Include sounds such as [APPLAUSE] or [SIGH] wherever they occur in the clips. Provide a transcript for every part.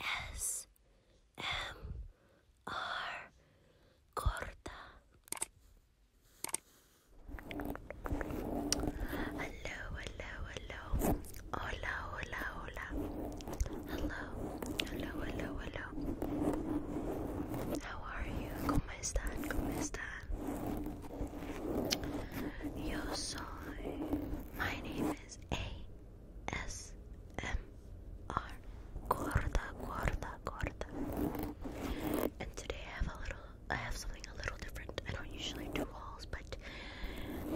ASMR Corta. Hello, hello, hello. Hola, hola, hola. Hello, hello, hello, hello. How are you? ¿Cómo están? ¿Cómo están? Yo soy my name is ASMR Gorda Gorda Gorda. And today I have a little I have something a little different. I don't usually do hauls, but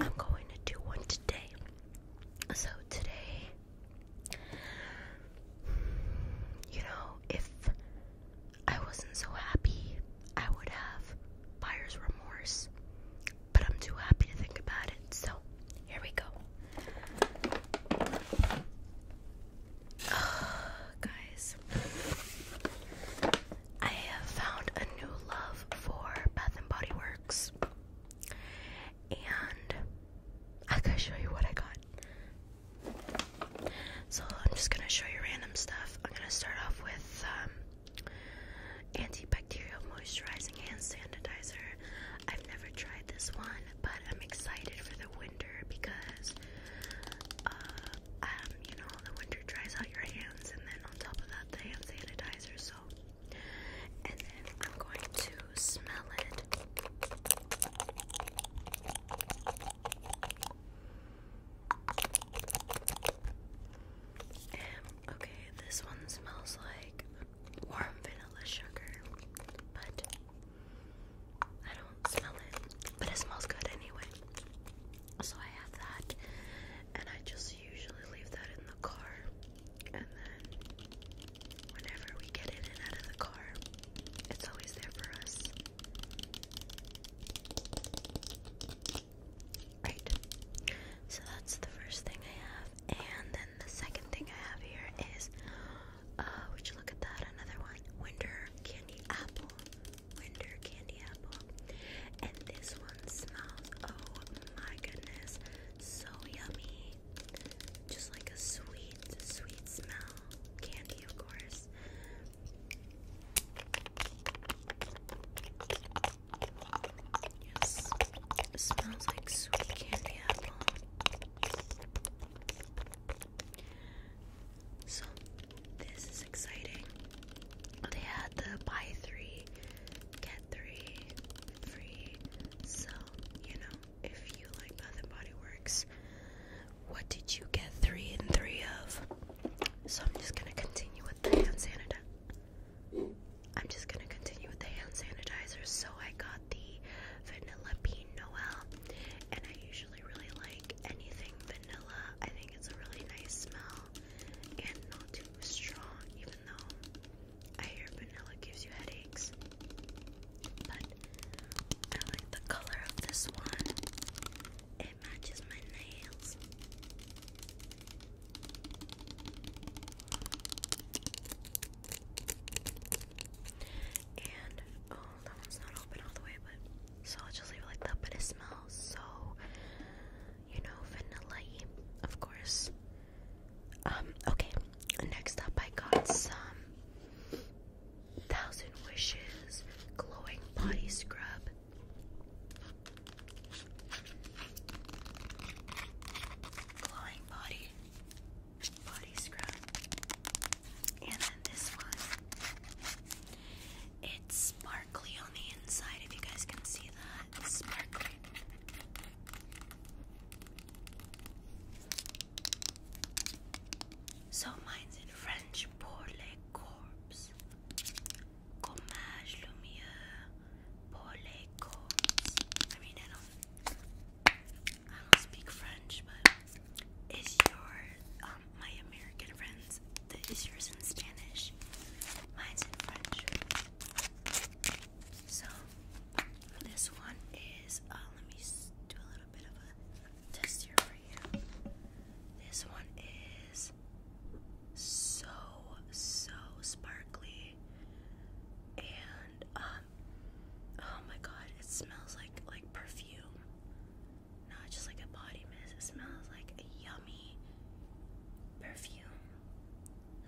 I'm going to do one today. So today you know, if I wasn't so happy, I would have buyer's remorse, but I'm too happy to think about it. So here we go. [SIGHS] guys, I have found a new love for Bath and Body Works, and I gotta show you what I got. So I'm just gonna show you random stuff. I'm gonna start off with um, Antibacterial moisturizing hand sanitizer. I've never tried this one, but I'm excited for the winter because, uh, um, you know, the winter dries out your hands, and then on top of that, the hand sanitizer. So, and then I'm going to smell it. Okay, this one smells like warm vanilla sugar, but I don't smell it. But it smells good anyway. So I have that, and I just usually leave that in the car, and then whenever we get in and out of the car, it's always there for us. Right. So that's the first thing I have. And then the second thing I have here is uh would you look at that? Another one. Winter candy apple. Winter candy apple. And this one smells oh my goodness. So yummy. Just like a sweet, sweet smell. Candy of course. Yes, smells like sweet candy apple. So, this is exciting. They had the buy three, get three free. So, you know, if you like Bath and Body Works, what did you get three and three of? So I'm just gonna continue with the hand sanitizer. I'm just gonna continue with the hand sanitizer. So I got the vanilla bean Noel, and I usually really like anything vanilla. I think it's a really nice smell and not too strong, even though I hear vanilla gives you headaches. But I like the color of this one matches my nails. And oh, that one's not open all the way, but so I'll just leave it like that. But it smells so, you know, vanilla of course. Um, okay, next up, I got some Thousand Wishes Glowing Body Scrub. Glowing body, body scrub. And then this one. It's sparkly on the inside, if you guys can see that. It's sparkly. So mine's in French pour les Gommage Lumiere Paulet Combs. I mean, I don't, I don't speak French, but is your, um, my American friends, the, is yours in Spanish? Mine's in French. So, this one is, uh, let me do a little bit of a test here for you. This one is so so sparkly and um oh my god it smells like like perfume not just like a body mist it smells like a yummy perfume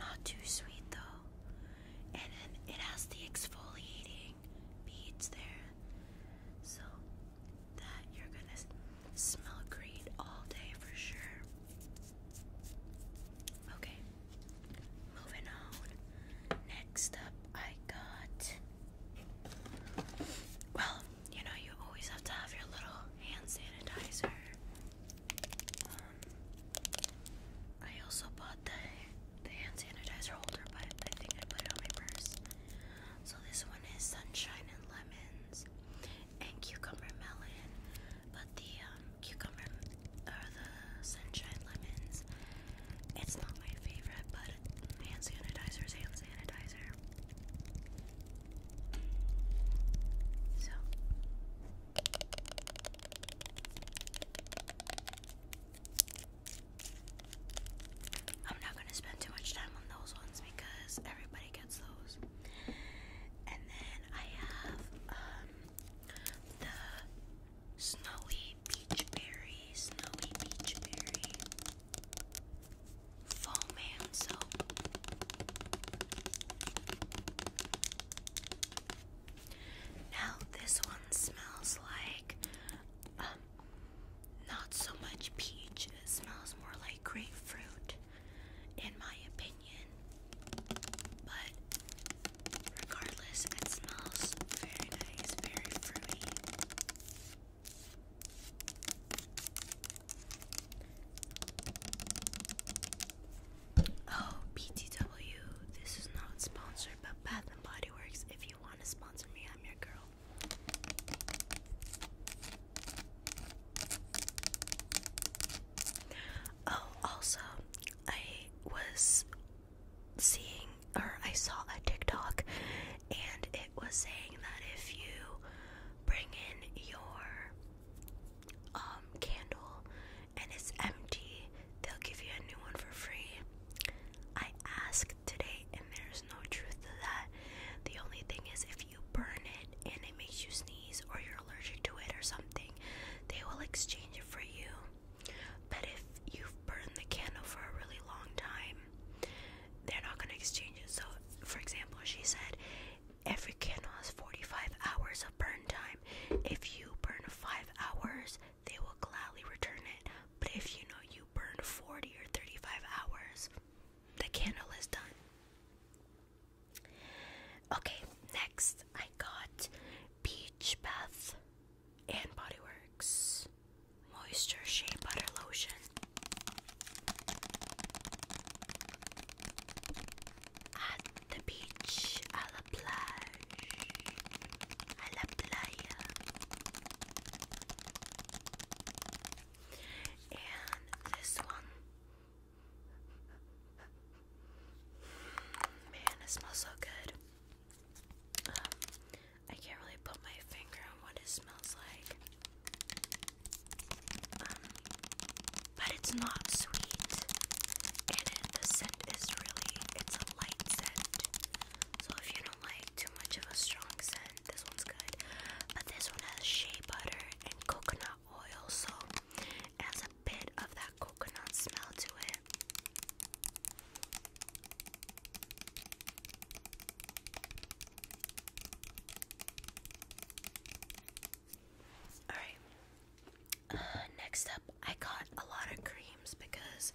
not too sweet though and then it has the exfoliating beads there so that you're gonna smell great all day for sure. Okay, moving on. Next up, I got. Well, you know, you always have to have your little hand sanitizer. Um, I also bought the the hand sanitizer holder, but I think I put it on my purse. So this one is sunshine and lemons and cucumber melon, but the um, cucumber or the sunshine lemons, it's not my favorite, but hand sanitizer is hand sanitizer. So. I'm not going to spend too much time on those ones because everybody gets those. And then I have um, the snowy peach berry, snowy peach berry foam soap. Now this one smells like um, not so much peach, it smells more like grapefruit, in my opinion. But regardless, it smells very nice, very fruity. Oh, BTW, this is not sponsored, but Bath and Body Works. If you want to sponsor me, I'm your girl. Oh, also, I was seeing or I saw a TikTok and it was saying that if you bring in your um candle and it's empty, they'll give you a new one for free. I asked today and there's no truth to that. The only thing is if you burn it and it makes you sneeze or you're allergic to it or something, they will exchange it for you. But if you've burned the candle for a really long time, they're not going to exchange it. So, for example, she said every candle has 45 hours of burn time. If you burn 5 hours, they will gladly return it. But if you know you burn 40 or 35 hours, the candle is done. Okay, next I got Beach Bath and Body Moisture Shea Butter Lotion. At the beach, à la plage, à la playa and this one. Man, it smells so good. I can't really put my finger on what it smells like. Um, but it's not sweet, the scent is really—it's a light scent. So if you don't like too much of a strong scent. This one's good. But this one has shea butter and coconut oil, so it has a bit of that coconut smell to it. Alright. Uh, next up, I got a lot of creams because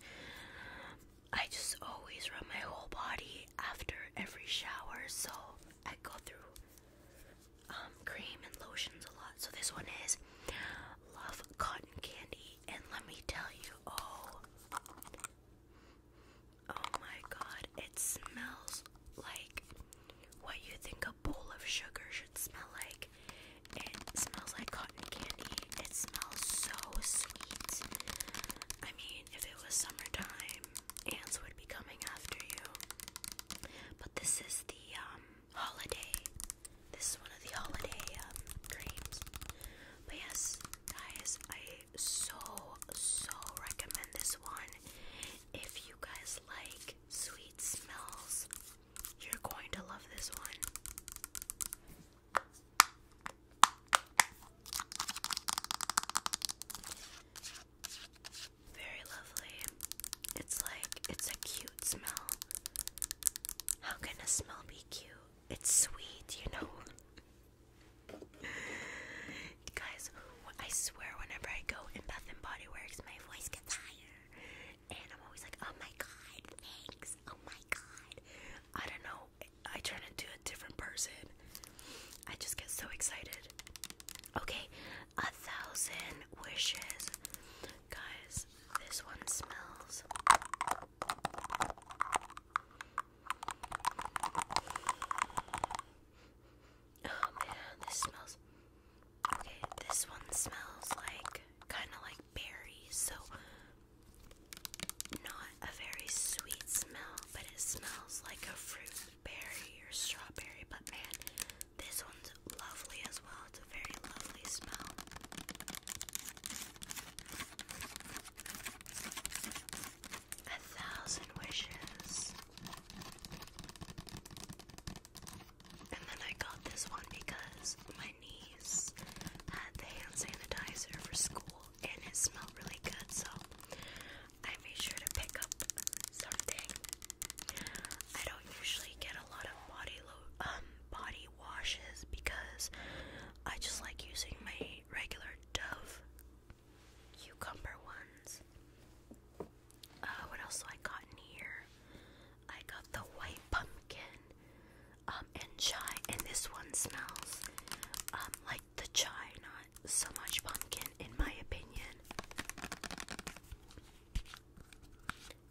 I just always rub my whole body after every shower, so I go through um, cream and lotions a lot. So this one is Love Cotton Candy, and let me tell you, oh, oh my God, it smells like what you think a bowl of sugar should smell like. It smells like cotton candy. It smells so sweet. I mean, if it was summertime, ants would be coming after you. But this is the um, holiday. This is one of the holiday um, creams. But yes, guys, I so, so recommend this one. If you guys like sweet smells, you're going to love this one. Very lovely. It's like it's a cute smell. How can a smell be cute? It's sweet, you know. [LAUGHS] Guys, I swear whenever I go in Bath and Body Works, my voice gets higher. And I'm always like, oh my god, thanks. Oh my god. I don't know I turn into a different person. I just get so excited. Okay, a thousand wishes. Guys, this one smells. Oh man, this smells. Okay, this one smells like kind of like berries. So not a very sweet smell, but it smells like a fruit berry or strawberry. But man, this one's lovely as well. It's a very lovely smell. A thousand wishes. And then I got this one because my niece had the hand sanitizer for school and it smelled really good, so I made sure to pick up something. I don't usually get a lot of body lo um, body washes because I just like using my regular Dove cucumber ones. Uh, what else do I got in here? I got the white pumpkin um, and chai, and this one smells um, like the chai, not so much pumpkin, in my opinion.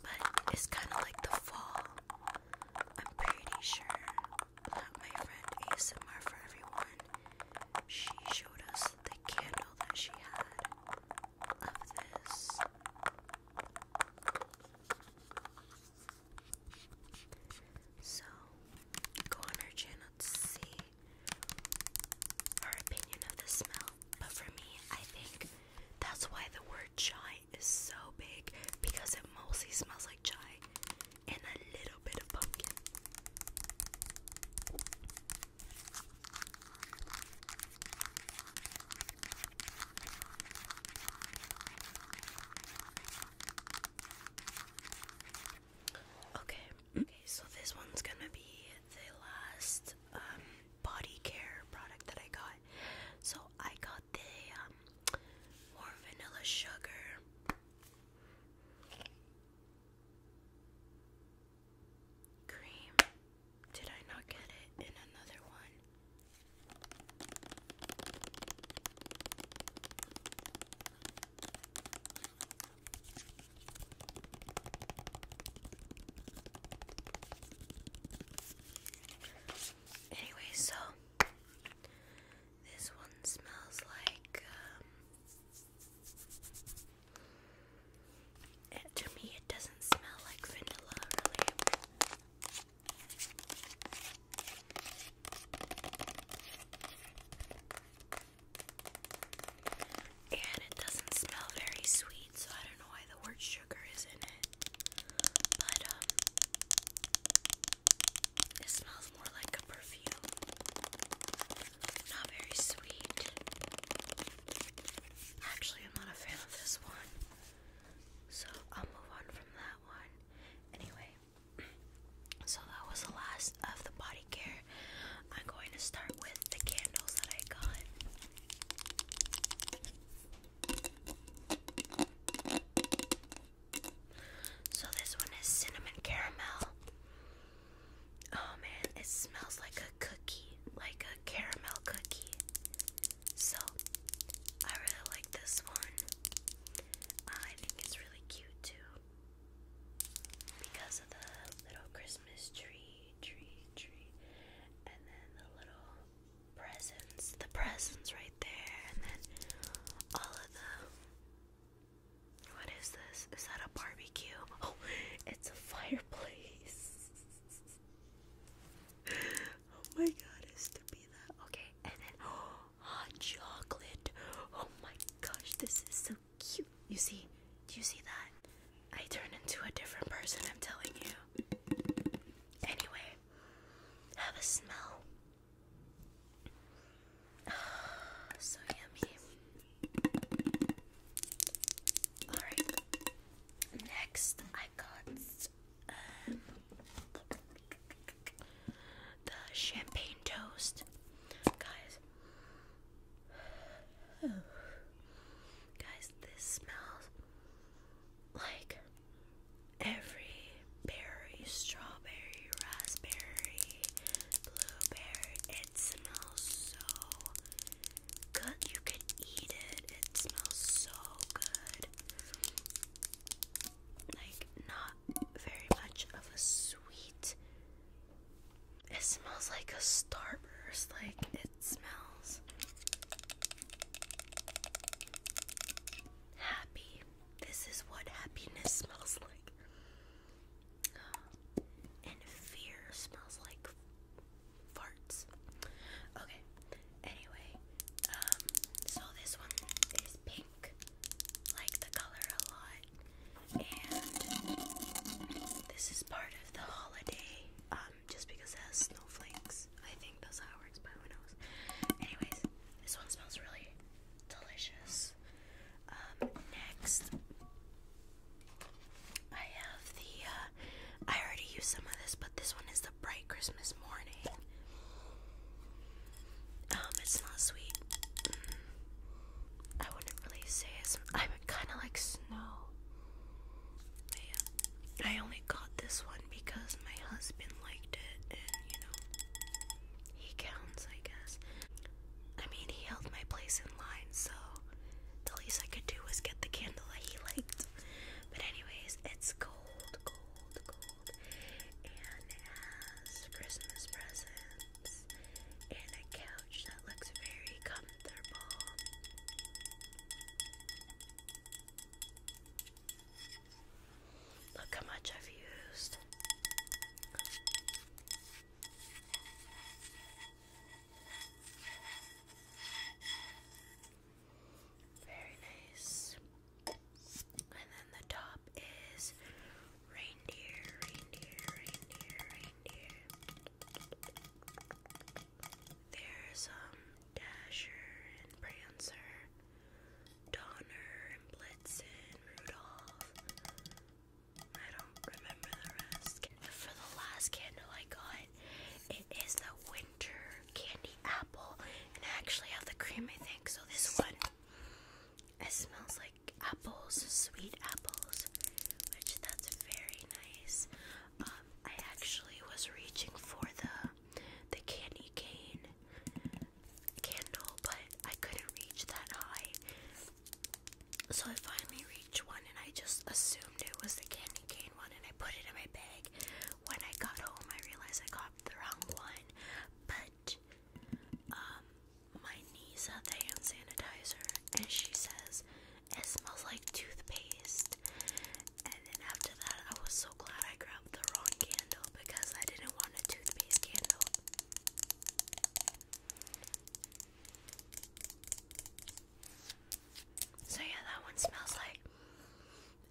But it's kind of like the fall. I'm pretty sure that my friend ASMR for Everyone, she showed us the candle that she had of this. So, go on her channel to see her opinion of the smell. But for me, I think that's why the word chai is so big because it mostly smells like chai and a little bit of pumpkin. Okay, okay, so this one's gonna be the last um, body care product that I got. So I got the um, more vanilla sugar. Cream. Did I not get it in another one? Anyway, so this one smells like um, to me it doesn't smell like vanilla really. And it doesn't smell very sweet, so I don't know why the word sugar is in it. But, um, it smells more like a perfume. Not very sweet. Actually, I'm not a fan of this one. So I'll move on from that one. Anyway, so that was the last of the body care. I'm going to start with the candles that I got. So this one is cinnamon caramel. Oh man, it smells like a cookie, like a caramel cookie. So I really like this one. I think it's really really cute too because of the little Christmas tree, tree, tree, and then the little presents, the presents right there, and then all of the. What is this? Is that a barbecue? [LAUGHS] Oh, it's a fireplace. [LAUGHS] oh my god, it's to be that. Okay, and then. [GASPS] Oh, hot chocolate. Oh my gosh, this is so cute. You see, do you see that? I turn into a different person, I'm telling you. Anyway, have a smell. [SIGHS] so yummy. Alright, next I got um, the champagne toast. Guys. Guys, this smells like every berry, strawberry, raspberry, blueberry. It smells so good. You can eat it. It smells so good. Like, not very much of a sweet. It smells like a starburst, like it smells happy. This is what happiness smells like. Uh, and fear smells like farts. Okay. Anyway, um, so this one is pink like the color a lot. And this is part of the holiday, um, just because it has snowflakes. I think that's how it works, but who knows? Anyways, this one smells really delicious. Um, next, I have the, uh, I already used some of this, but this one is the Bright Christmas Morning. Um, it smells sweet. Mm. I wouldn't really say it's. I would kind of like snow. Yeah. I only got this one because my husband liked it, and you know, he counts, I guess. I mean, he held my place in line, so the least I could do was get the candle that he liked. But anyways, it's cold and has Christmas presents and a couch that looks very comfortable. Look how much I've used. Very nice. And then the top is reindeer, reindeer, reindeer, reindeer. There's um Dasher and Prancer, Donner and Blitzen, Rudolph. I don't remember the rest. For the last candle I got, it is the winter candy apple, and I actually have the cream I think. So this one it smells like apples, sweet apples, which that's very nice. Um, I actually was reaching for the the candy cane candle, but I couldn't reach that high. So I finally reached one and I just assumed it was the candy cane one and I put it in my bag. When I got home I realized I got the wrong one. But um, my niece had the hand sanitizer and she says it smells like toothpaste. And then after that, I was so glad I grabbed the wrong candle because I didn't want a toothpaste candle. So, yeah, that one smells like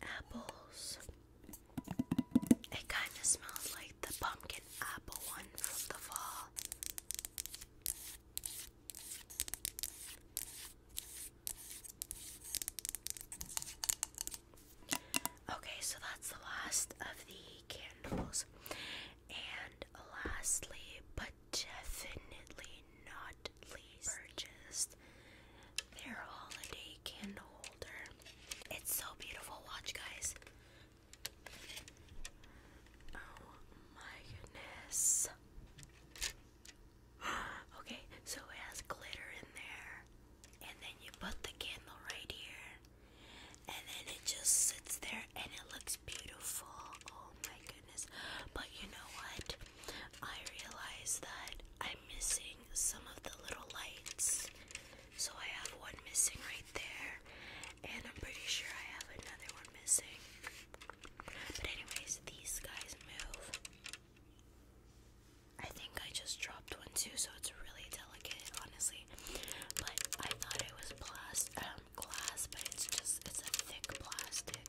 apples. It kind of smells like the pumpkin apple one from the fall. Okay, so that's the last of the candles. And lastly, but definitely not least, their holiday candle holder. It's so beautiful. Watch, guys. Oh my goodness. [GASPS] okay, so it has glitter in there. And then you put the candle right here. And then it just sits there and it looks beautiful. Oh my goodness. But you know what? I realize that I'm missing some of the little lights. So I have one missing right there, and I'm pretty sure I have another one missing. But, anyways, these guys move. I think I just dropped one too, so it's really delicate, honestly. But I thought it was plastic, um, but it's just, it's a thick plastic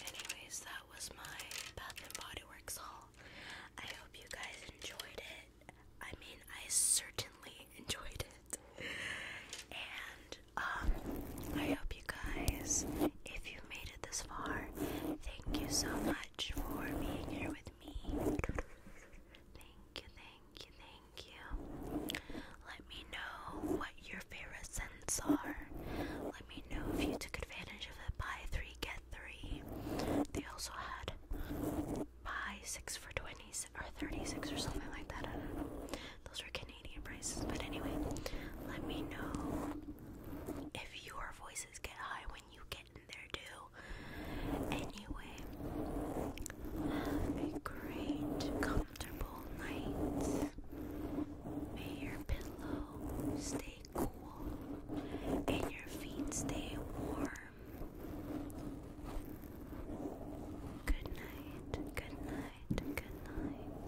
anyways, that was my Bath and Body Works haul. I hope you guys enjoyed it. I mean, I certainly [LAUGHS] enjoyed it. And um I hope you guys if you made it this far, thank you so much much for being here with me. Thank you, thank you, thank you. Let me know what your favorite scents are. Let me know if you took advantage of the buy three, get three. They also had buy six for 20s or 36 or something like that. Those were Canadian prices. But anyway, let me know if your voices get high when you getting their Anyway, have a great, comfortable night. May your pillow stay cool and your feet stay warm. Good night, good night, good night.